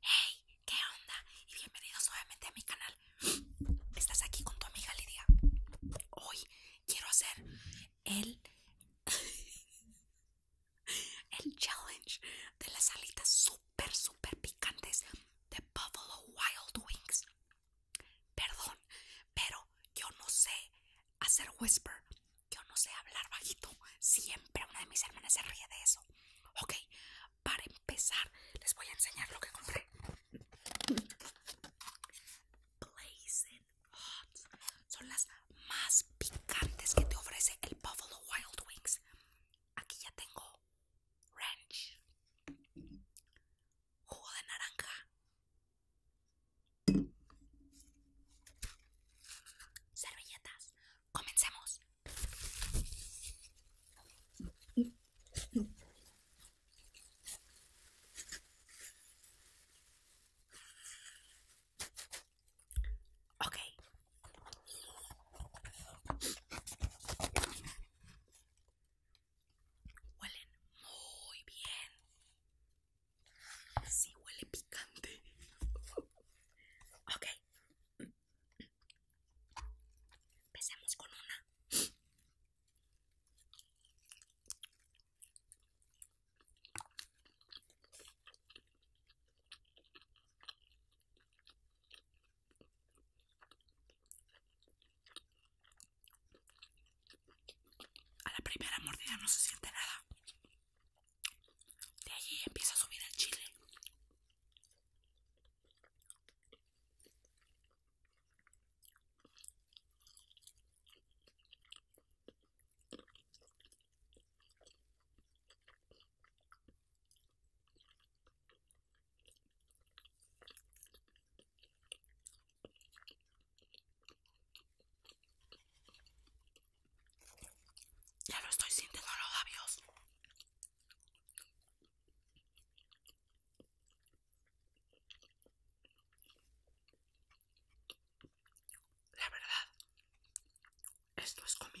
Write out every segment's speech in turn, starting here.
Hey, ¿qué onda? Y bienvenidos nuevamente a mi canal. Estás aquí con tu amiga Lidia. Hoy quiero hacer el el challenge de las alitas super super picantes de Buffalo Wild Wings. Perdón, pero yo no sé hacer whisper. Yo no sé hablar bajito. Siempre una de mis hermanas se ríe de eso. Ok, para empezar les voy a enseñar lo que compré. Blazing Hot. Son las más picantes que te ofrece el Buffalo Wild Wings. Aquí ya tengo ranch, jugo de naranja, servilletas. Comencemos. Okay, Huelen muy bien. Sí, huele picante. Okay, Empecemos con una. A la primera mordida no se siente nada. De allí empieza a subir en Chile. Ya lo estoy sintiendo en los labios. La verdad, esto es comible.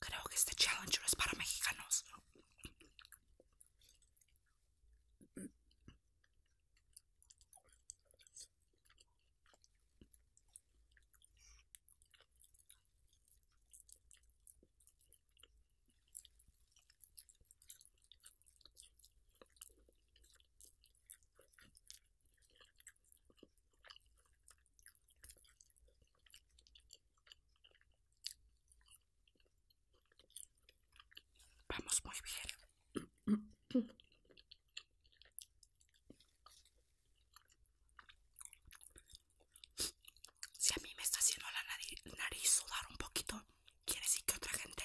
Creo que este challenge es para mexicanos. Vamos muy bien. Si a mí me está haciendo la nariz, sudar un poquito, quiere decir que otra gente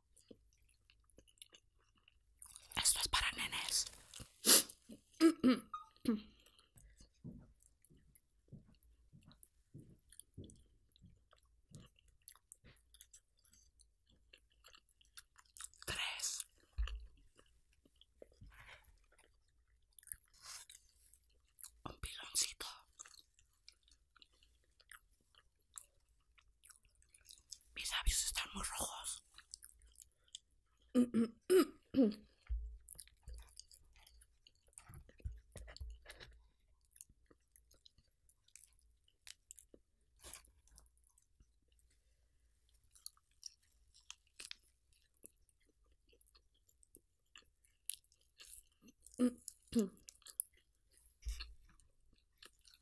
Esto es para nenes. Tres. Un piloncito. Mis labios están muy rojos.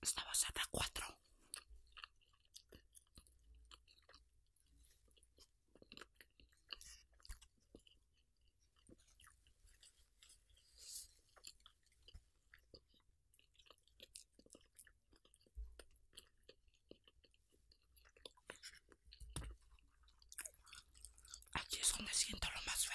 Estaba va cuatro. Aquí es donde siento lo más feo.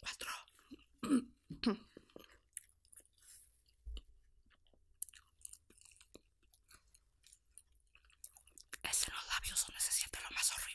Cuatro. Es los labios son se siente lo más horrible.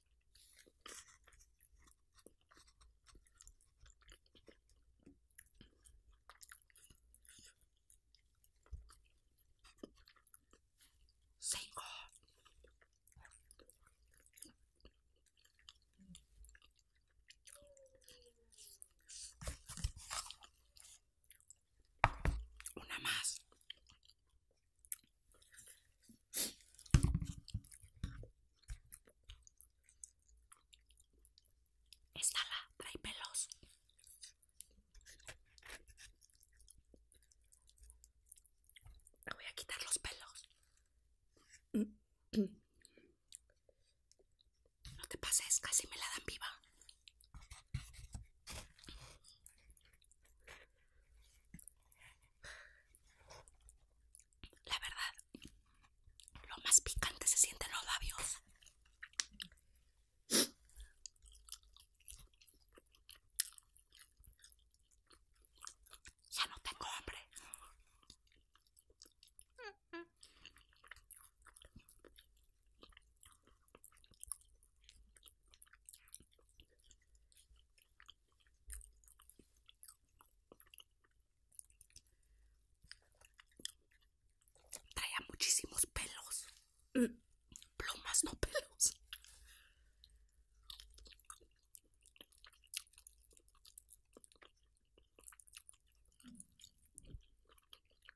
Cinco. Una más. Está la trae pelos. voy a quitar los pelos. No te pases, casi me la dan viva. La verdad, lo más picante se siente en los labios. Ya no tengo hambre. Traía muchísimos pelos. Mm. Plumas, no pelos.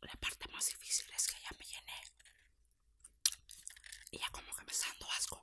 La parte más difícil es que ya me llené. Y ya como que me sando asco.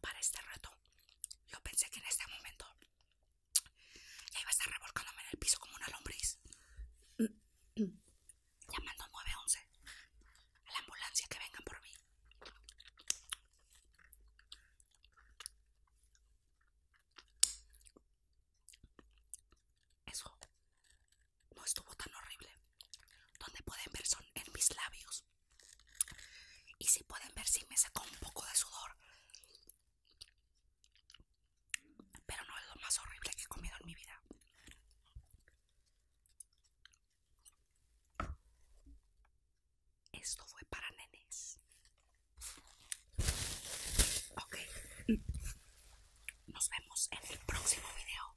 para este rato yo pensé que en este momento iba a estar revolcándome en el piso como una lombriz llamando 911 a la ambulancia que vengan por mí eso no estuvo tan horrible. Donde pueden ver son en mis labios. Y si pueden ver, si me sacó un poco de sudor. Pero no es lo más horrible que he comido en mi vida. Esto fue para nenes. Ok. Nos vemos en el próximo video.